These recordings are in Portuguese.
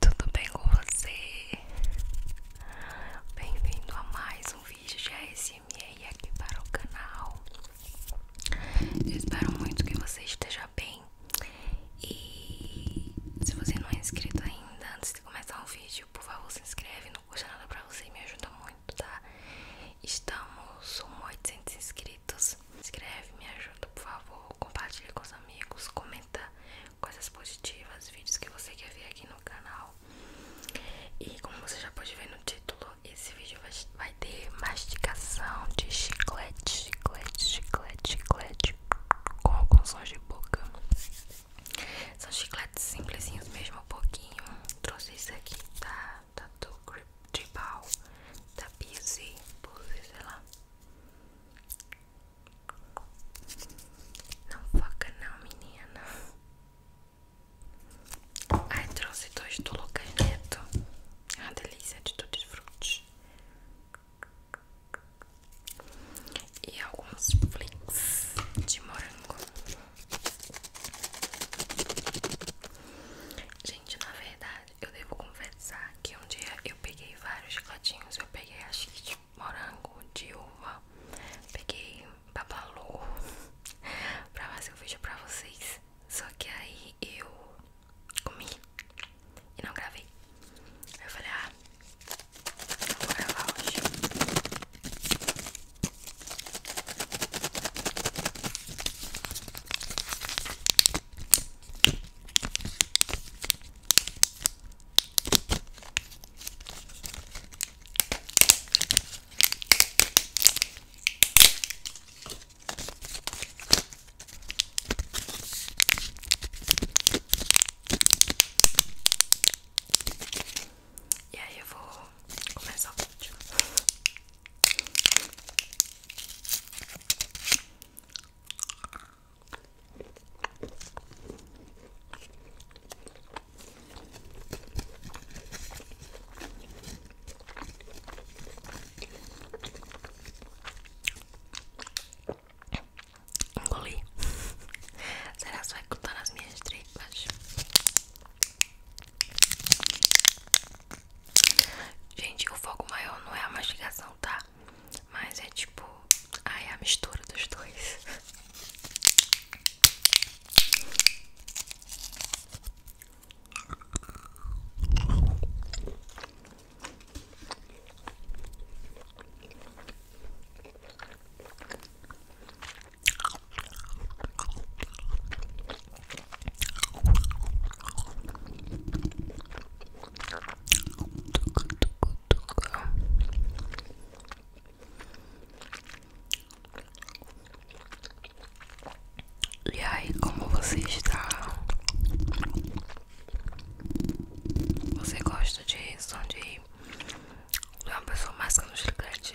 tudo bem com você? Bem-vindo a mais um vídeo de ASMR aqui para o canal Eu espero muito que você esteja bem E se você não é inscrito ainda, antes de começar o vídeo, por favor se inscreve Não custa nada pra você, me ajuda muito, tá? Estamos com 800 inscritos Inscreve, me ajuda, por favor Compartilhe com os amigos, comenta coisas positivas, vídeos que você quer ver aqui no canal. E como você já pode ver no título, esse vídeo vai, ter mastigação de chiclete, chiclete, chiclete, chiclete com alguns sons de boca. São chicletes simplesinhos mesmo, um pouquinho. Trouxe isso aqui tá? da tá do Grip Tribal, da Busy, Busy, sei lá. Não foca não, menina. Ai, trouxe dois do Lucas Neto. É ah, uma delícia de tudo de frute E alguns flakes de morango. Gente, na verdade eu devo confessar que um dia eu peguei vários chicletinhos. Eu peguei acho que de morango, de uva, peguei babalu pra fazer o um vídeo pra vocês. Só que aí eu comi e não gravei. Aí eu falei, ah, não vou gravar hoje. E aí eu vou começar o vídeo. Engoli. Será que vai cortar nas minhas tripas? Gente, o foco maior não é a mastigação, tá? mas é tipo, ai, a mistura dos dois. E aí, como você está? Você gosta de som de uma pessoa no gigante?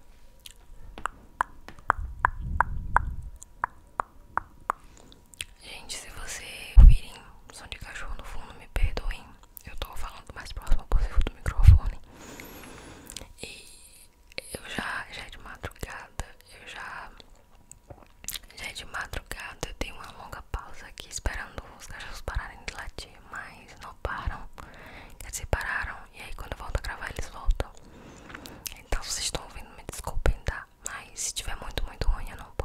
Gente, se você ouvirem som de cachorro no fundo, me perdoem. Eu tô falando o mais próximo possível do microfone. E eu já, já é de madrugada. Eu já. Já é de madrugada. Eu tenho uma longa pausa aqui esperando os cachorros pararem de latir mas não param. Quer dizer, pararam. E aí quando eu volto a gravar eles voltam. Então vocês estão ouvindo, me desculpem, tá? Mas se tiver muito, muito ruim eu não posto.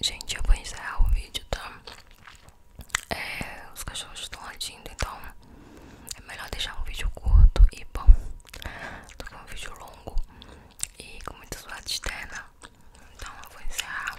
Gente, eu vou encerrar o vídeo, tá? É, os cachorros estão latindo, então é melhor deixar um vídeo curto e bom. Tô com um vídeo longo e com muita zoada externa. Então eu vou encerrar.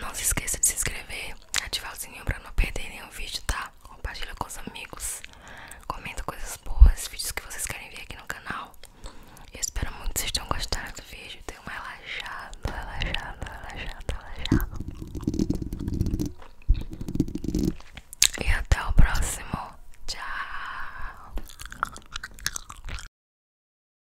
Não se esqueça de se inscrever, ativar o sininho pra não perder nenhum vídeo, tá? Compartilha com os amigos, comenta coisas boas, vídeos que vocês querem ver aqui no canal. Eu espero muito que vocês tenham gostado do vídeo. Tenham relaxado, relaxado, relaxado, relaxada, E até o próximo. Tchau.